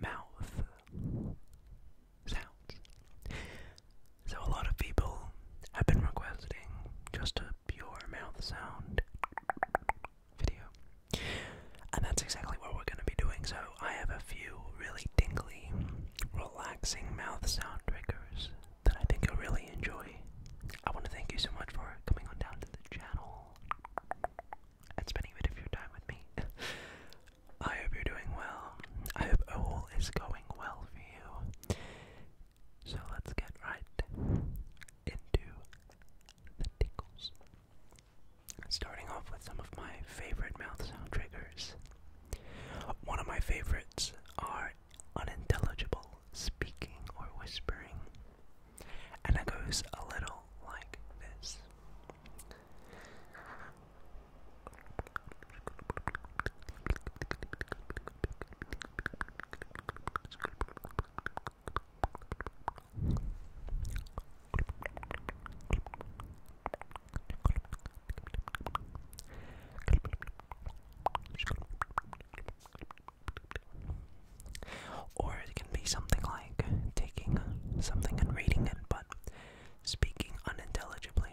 Mouth sounds. So, a lot of people have been requesting just a pure mouth sound video. And that's exactly what we're going to be doing. So, I have a few really dingly, relaxing mouth sound triggers that I think you'll really enjoy. I want to thank you so much for coming on down to the channel and spending a bit of your time with me. I hope you're doing well. I hope all is going well for you. So let's get right into the tickles. Starting off with some of my favorite mouth sound triggers. One of my favorites are unintelligible speaking or whispering, and it goes a little like this. Or it can be something like taking something and reading it, but speaking unintelligibly.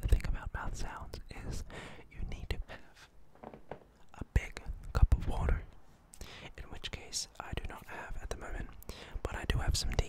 The thing about mouth sounds is you need to have a big cup of water, in which case I do not have at the moment, but I do have some tea.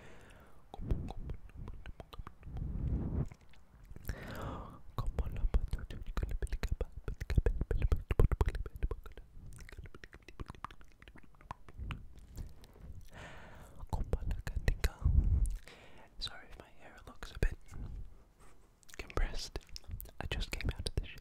Sorry if my hair looks a bit compressed. I just came out of the shower.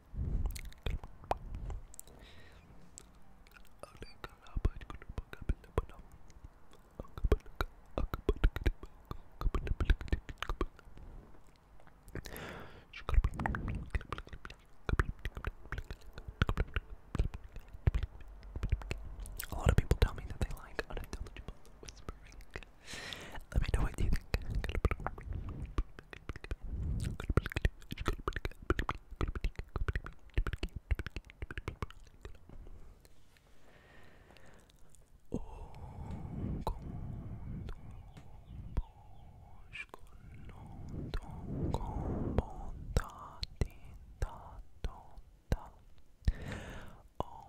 A lot of people tell me that they like unintelligible whispering. Let me know what you think. Oh,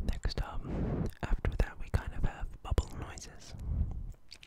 Next up, after that, we kind of have bubble noises.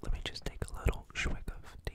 Let me just take a little swig of tea.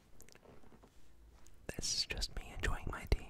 This is just me enjoying my tea.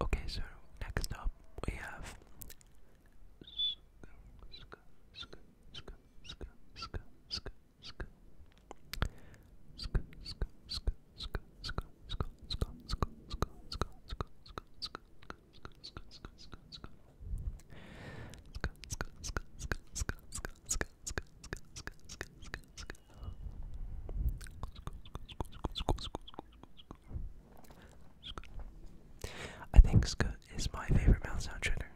Okay, so next up we have I think Scoot is my favorite mouth sound trigger.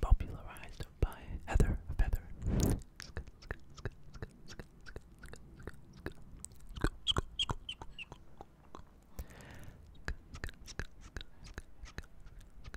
Popularized by Heather Feather.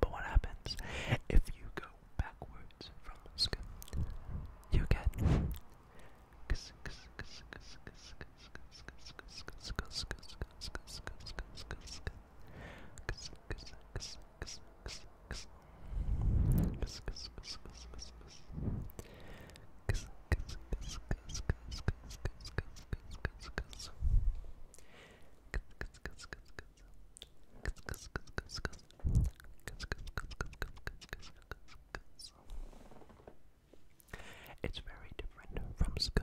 But what happens if you go backwards from sk? You get it's very different from sk.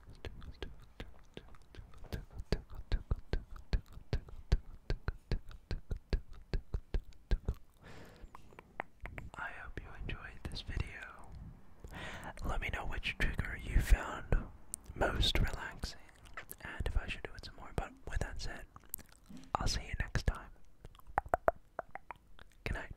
I hope you enjoyed this video. Let me know which trigger you found most relaxing and if I should do it some more. But with that said, I'll see you next time. Good night.